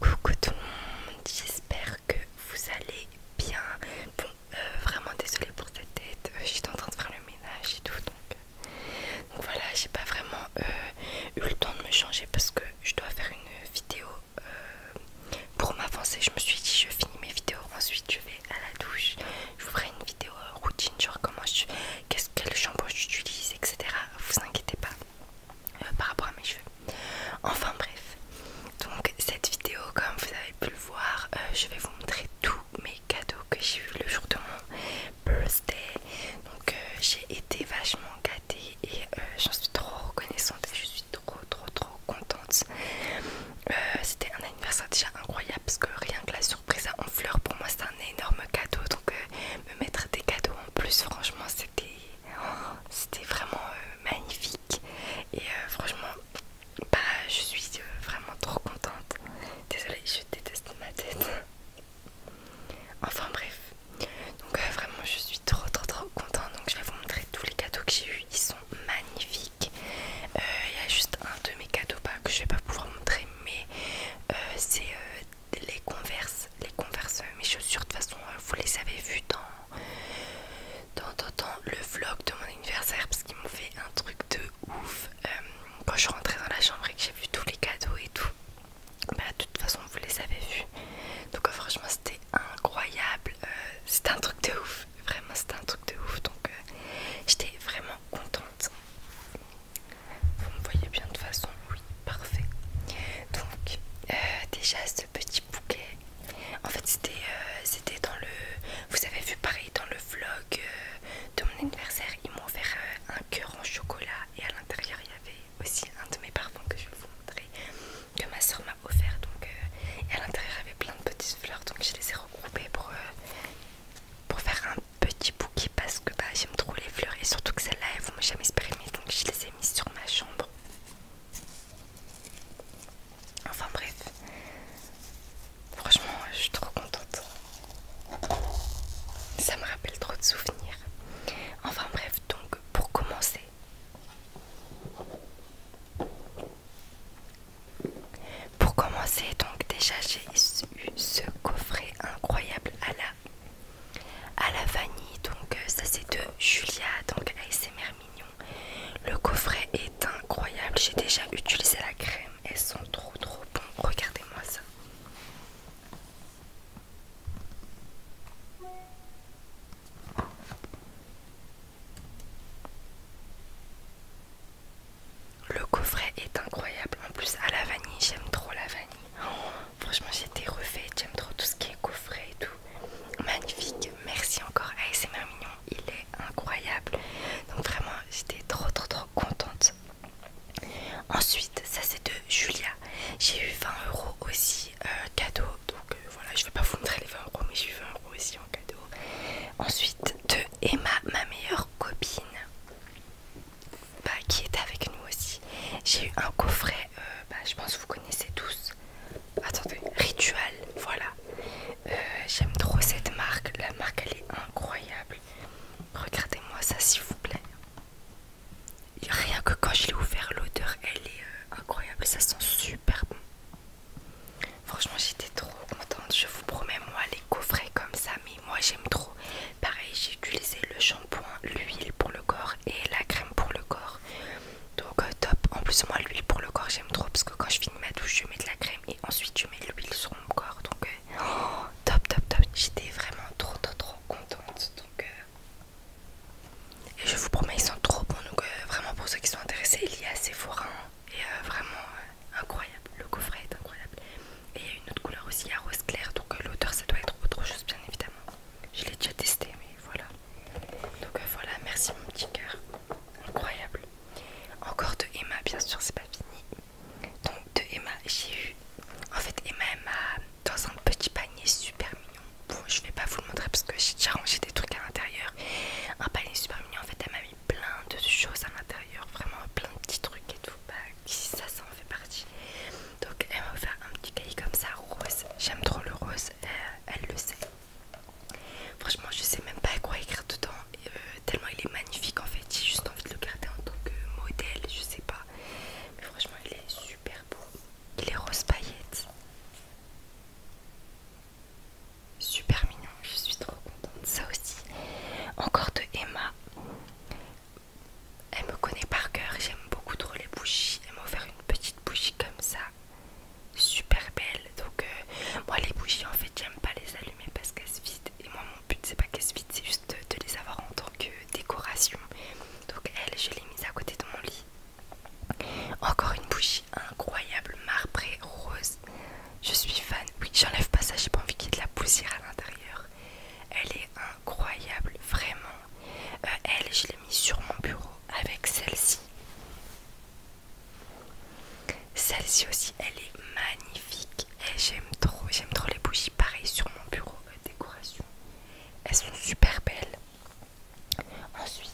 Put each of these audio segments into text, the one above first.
Coucou tout le monde, j'espère que vous allez bien. Bon, euh, vraiment désolée pour cette tête, Je euh, j'étais en train de faire le ménage et tout donc. Euh, voilà, j'ai pas vraiment eu le temps de me changer parce que je dois faire une vidéo pour m'avancer. Je me suis dit, je finis mes vidéos, ensuite je vais à la douche, je vous ferai une vidéo routine, genre comment je. qu'est-ce, le shampoing j'utilise, etc. Vous inquiétez pas. Euh, par rapport à mes cheveux. Enfin bref, donc cette vidéo, comme vous avez pu le voir, euh, je vais vous montrer tous mes cadeaux que j'ai eu le jour de mon birthday. Donc euh, j'ai été vachement gâtée et j'en suis trop reconnaissante et je suis trop trop trop contente. C'était un anniversaire déjà incroyable parce que rien que la surprise en fleurs pour moi c'est un énorme cadeau donc me mettre des cadeaux en plus franchement c'était Oh, c'était vraiment euh, magnifique et euh, franchement, bah, je suis euh, vraiment trop contente. Désolée, je déteste ma tête. Enfin bref, donc vraiment je suis trop trop trop contente. Donc je vais vous montrer tous les cadeaux que j'ai eu. Ils sont magnifiques. Il y a juste un de mes cadeaux pas que je vais pas pouvoir montrer, mais c'est euh, les converses, les converses, mes chaussures, de façon, euh, vous les avez vu dans, dans, le vlog de mon anniversaire parce qu'ils m'ont fait un truc de ouf euh, quand je suis rentrée dans la chambre et que j'ai vu tous les cadeaux et tout. Bah, de toute façon, vous les avez vus. Donc, euh, franchement, c'était incroyable. c'était un truc de ouf. Vraiment, c'était un truc de ouf. Donc, j'étais vraiment contente. Vous me voyez bien de façon, oui. Parfait. Donc, euh, déjà ce petit bouquet, en fait c'était euh, c'était dans le... Vous avez vu pareil dans le vlog euh, de mon anniversaire, ils m'ont offert un cœur en chocolat et à l'intérieur il y avait aussi un de mes parfums que je vais vous montrer, que ma soeur m'a offert. Donc, à l'intérieur il y avait plein de petites fleurs, donc je les ai regroupées pour, pour faire un petit bouquet parce que bah, j'aime trop les fleurs et surtout que celles-là ne vont jamais se donc je les ai mis sur ma chambre. Enfin bref, franchement, je suis trop contente. Ça me rappelle trop de souvenirs. Enfin bref, donc pour commencer, pour commencer, donc déjà j'ai eu ce coffret incroyable à la à la vanille, donc euh, ça c'est de Julia, donc c'est mignon. Le coffret est incroyable, j'ai déjà utilisé la crème, elles sont trop trop bon regardez-moi ça. Le coffret est incroyable, en plus à la vanille, j'aime trop la vanille. Oh, franchement, j'étais été refaite. J'aime trop tout ce qui est coffret et tout. Magnifique. Merci encore à c'est Mignon. Il est incroyable. Donc, vraiment, j'étais trop, trop, trop contente. Ensuite, ça c'est de Julia. J'ai eu 20 euros aussi un euh, cadeau. Donc euh, voilà, je vais pas vous montrer les 20 euros, mais j'ai eu 20 euros aussi en cadeau. Ensuite, de Emma, ma meilleure copine. Bah, qui est avec nous aussi. J'ai eu un coffret, euh, bah, je pense que vous connaissez tous. Attendez, Ritual, voilà. Euh, j'aime trop cette marque, la marque elle est incroyable. Regardez-moi ça s'il vous plaît. rien que quand je l'ai ouvert, l'odeur elle est euh, incroyable, ça sent super bon. Franchement j'étais trop contente, je vous promets moi les coffrets comme ça, mais moi j'aime trop. Pareil, j'ai utilisé le shampoing, l'huile pour le corps et la crème pour le corps. Donc euh, top. En plus moi l'huile pour le corps j'aime trop parce que quand je finis ma douche je mets de la crème et ensuite je mets l'huile sur mon corps. Donc euh, oh, top top top. J'étais vraiment trop trop trop contente. Donc euh, et je vous promets ils sont trop bons. Donc vraiment pour ceux qui sont intéressés il y a assez hein, et vraiment incroyable. Le coffret est incroyable. Et il y a une autre couleur aussi à rose clair. Donc l'odeur ça doit être autre chose bien évidemment je l'ai déjà testé mais voilà donc euh, voilà merci mon petit cœur incroyable encore de Emma bien sûr c'est pas fini donc de Emma j'ai eu en fait Emma elle m'a dans un petit panier super mignon bon je vais pas vous le montrer parce que j'ai déjà rangé des trucs à l'intérieur un panier super mignon en fait elle m'a mis plein de choses à l'intérieur vraiment plein de petits trucs et tout ça, ça en fait partie. Donc elle m'a offert un petit cahier comme ça, rose. J'aime trop le rose, euh, elle, le sait. Franchement, je sais même pas quoi écrire dedans, euh, tellement il est magnifique en fait. J'ai juste envie de le garder en tant que modèle, je sais pas. Mais franchement, il est super beau. Il est rose paillette. Super mignon, je suis trop contente. Ça aussi, encore de Emma. Elle me connaît par cœur, j'aime beaucoup trop les bougies. Elle m'a offert une petite bougie comme ça, super belle. Donc, euh, moi, les bougies, en fait, j'aime pas les allumer parce qu'elles se vident. Et moi, mon but, c'est pas qu'elles se vident, c'est juste de, de les avoir en tant que décoration. Donc, elle, je l'ai mise à côté de mon lit. Encore une bougie incroyable, marbrée, rose. Je suis fan. Oui, j'enlève pas ça, j'ai pas envie qu'il y ait de la poussière à l'intérieur. Elle est incroyable, vraiment. Euh, elle, je l'ai mise sur mon bureau avec celle-ci. Celle-ci aussi, elle est magnifique et j'aime trop, j'aime trop les bougies pareil sur mon bureau euh, décoration. Elles sont super belles. Ensuite,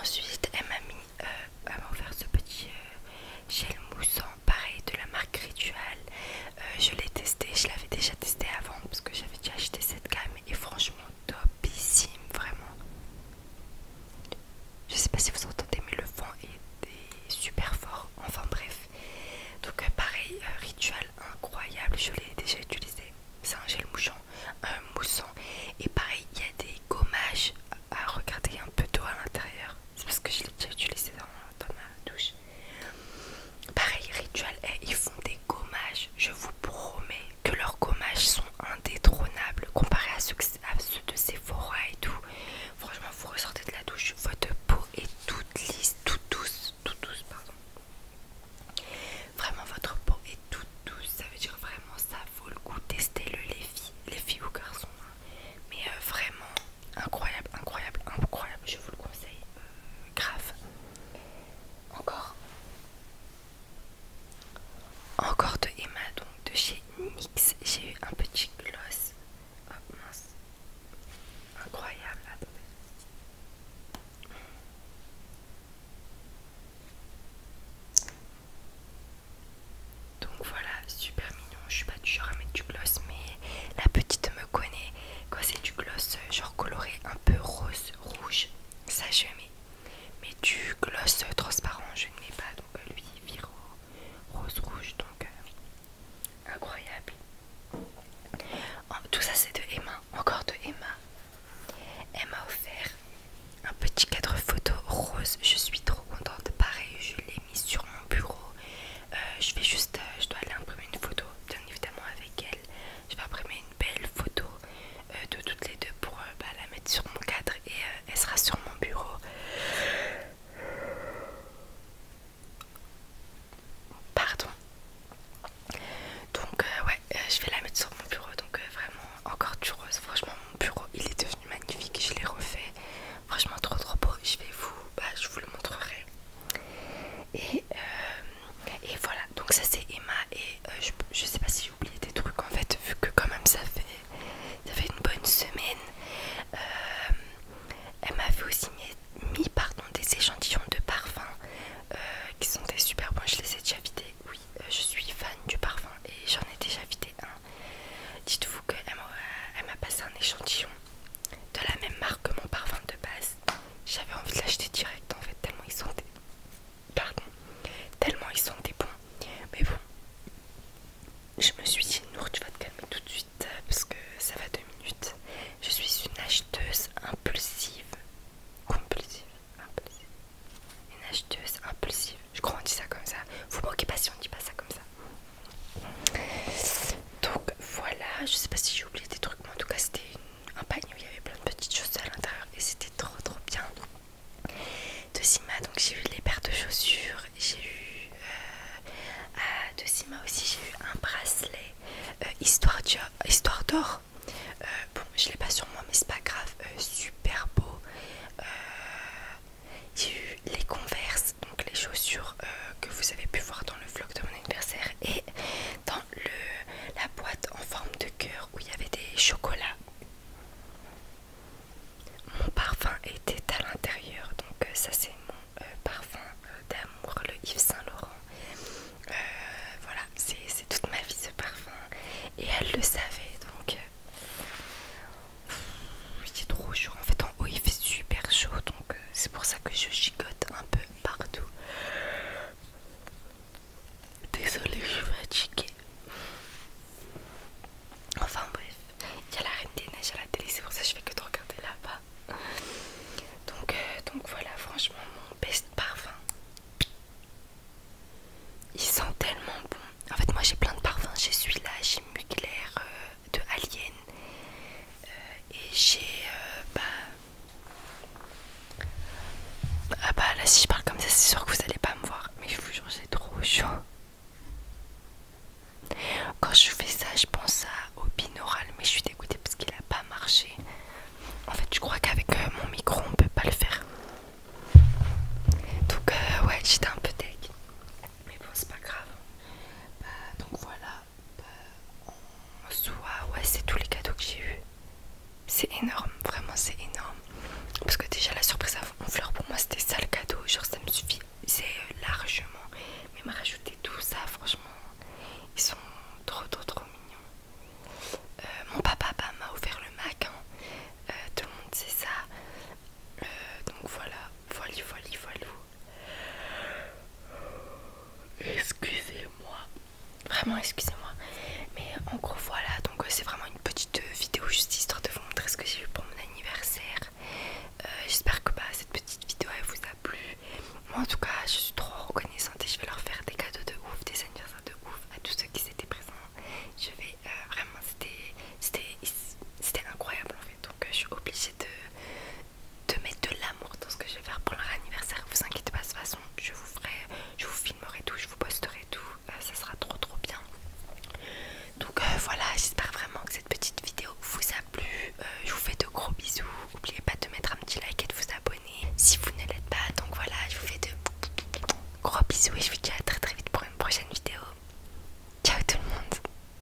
ensuite elle m'a mis, offert euh, ce petit gel moussant pareil de la marque Rituel, euh, je l'ai testé, je l'avais déjà testé avant parce que j'avais déjà acheté cette gamme et franchement topissime vraiment. Je sais pas si vous entendez mais le vent est, super fort. Enfin bref. Donc euh, pareil, euh, rituel incroyable, je l'ai déjà utilisé. C'est un gel mouchon un moussant. Et pareil, il y a des gommages à regarder un peu d'eau à l'intérieur. C'est parce que je l'ai déjà utilisé dans ma douche. Pareil, Ritual et ils font des gommages. Je vous promets que leurs gommages sont indétrônables comparé à ceux, de Sephora et tout. Franchement, vous ressortez de la douche, votre peau est toute lisse, toute douce, toute douce, pardon. Vraiment, votre peau est toute douce. Ça veut dire vraiment, ça vaut le coup. Testez-le, les filles, les filles ou garçons. Hein. Mais euh, vraiment, incroyable, incroyable, incroyable, je vous le conseille euh, grave. Encore. Encore de Emma, donc de chez NYX. J'ai eu un petit gloss. mince. Incroyable. Donc voilà, super mignon. Je suis pas du genre à mettre du gloss, mais la petite me connaît. Quoi, c'est du gloss genre coloré un peu rose, rouge, ça je mets. Mais du gloss transparent, je ne mets pas. Donc euh, lui, il rose, rouge. Donc euh, incroyable. tout ça, c'est de Emma. Encore de Emma. Emma a offert un petit cadre photo rose. Je suis trop contente. Pareil, je sur mon bureau. Euh, je vais juste, euh, je dois aller imprimer une photo, bien évidemment avec elle. Je vais imprimer une belle photo euh, de toutes les deux pour bah, la mettre sur mon cadre et elle sera sur mon bureau. Pardon. Donc ouais, je vais la mettre sur mon bureau. Donc vraiment encore du Franchement mon bureau il est devenu magnifique. Je l'ai refait. Franchement trop trop beau. Je vais vous, bah, je vous le montrerai. Et, euh, et voilà. Donc ça c'est Emma et euh, je, sais pas si j'ai oublié des trucs en fait vu que quand même ça fait ça fait une bonne semaine. Euh, elle m'avait aussi mis, pardon, des échantillons de parfum qui sont des super bons. Je les ai déjà vidés. Oui, je suis fan du parfum et j'en ai déjà vidé un. Dites-vous qu'elle m'a passé un échantillon de la même marque que mon parfum de base. J'avais envie de l'acheter direct en fait, tellement ils sont des... Pardon, tellement ils sont des bons. Mais bon, je me suis dit, Nour, tu vas te calmer tout de suite euh, parce que ça va deux minutes. Je suis une acheteuse impulsive. Compulsive, impulsive. Une acheteuse impulsive. Je crois qu'on dit ça comme ça. Vous moquez pas si on dit pas ça comme ça. Donc voilà, je sais pas si j'ai oublié des trucs, mais en tout cas c'était un panier où il y avait plein de petites choses à l'intérieur et c'était trop trop bien. De Sima, donc j'ai eu les paires de chaussures, j'ai eu euh, ah, De Sima aussi, j'ai eu un bracelet euh, histoire d'or. Euh, bon, je l'ai pas sur moi, mais c'est pas grave, super beau. j'ai eu les converses, donc les chaussures euh, que vous avez pu voir dans le vlog de mon anniversaire et dans le, la boîte en forme de cœur où il y avait des chocolats. Mon parfum était à l'intérieur, donc euh, ça c'est mon euh, parfum d'amour, le Yves Saint Laurent. voilà, c'est toute ma vie ce parfum et elle le savait donc. c'est trop chou En fait, oui, il fait super chaud donc euh, c'est pour ça que je gigote un peu partout. Désolée, je suis fatiguée. Enfin bref, il y a la reine des neiges à la télé, c'est pour ça que je fais que de regarder là-bas. Euh, donc, voilà, franchement, mon best parfum. Il sent tellement bon. En fait, moi j'ai plein de parfums. J'ai celui-là, j'ai Mugler, euh, de Alien euh, et j'ai euh, bah... ah bah là si je parle comme ça c'est sûr que vous allez pas me voir mais je vous jure c'est trop chaud quand je fais ça je pense à, au binaural mais je suis dégoûtée parce qu'il a pas marché en fait je crois qu'avec euh, mon micro on peut pas le faire donc ouais j'étais un peu tech mais bon c'est pas grave bah, donc voilà en soi, ouais, c'est tous les cadeaux que j'ai eu. C'est énorme, vraiment, c'est énorme. Parce que déjà, la surprise vos fleurs pour moi, c'était ça le cadeau. Genre, ça me suffit, c'est euh, largement. Mais m'a rajouté tout ça, franchement, ils sont trop, trop, trop mignons. Euh, mon papa bah, m'a ouvert le Mac, hein. euh, tout le monde sait ça. donc voilà, voilà, voilà, voilà. Excusez-moi. Vraiment, excusez-moi. Mais en gros, voilà. Donc, euh, c'est vraiment une petite euh, vidéo juste histoire de vous montrer ce que j'ai eu pour mon anniversaire. Euh, j'espère que bah, cette petite vidéo elle vous a plu. Moi, en tout cas, je suis trop reconnaissante et je vais leur faire des cadeaux de ouf, des anniversaires de ouf à tous ceux qui étaient présents. Je vais vraiment, c'était incroyable en fait. Donc, je suis obligée de de mettre de l'amour dans ce que je vais faire pour leur anniversaire. Vous inquiétez pas, de toute façon, je vous ferai, je vous filmerai tout, je vous posterai tout. Euh, ça sera trop trop bien. Donc euh, voilà, j'espère vraiment que cette petite vidéo vous a plu. Euh, je vous fais de gros bisous. N'oubliez pas de mettre un petit like et de vous abonner si vous ne l'êtes pas. Donc voilà, je vous fais de gros bisous et je vous dis à très très vite pour une prochaine vidéo. Ciao tout le monde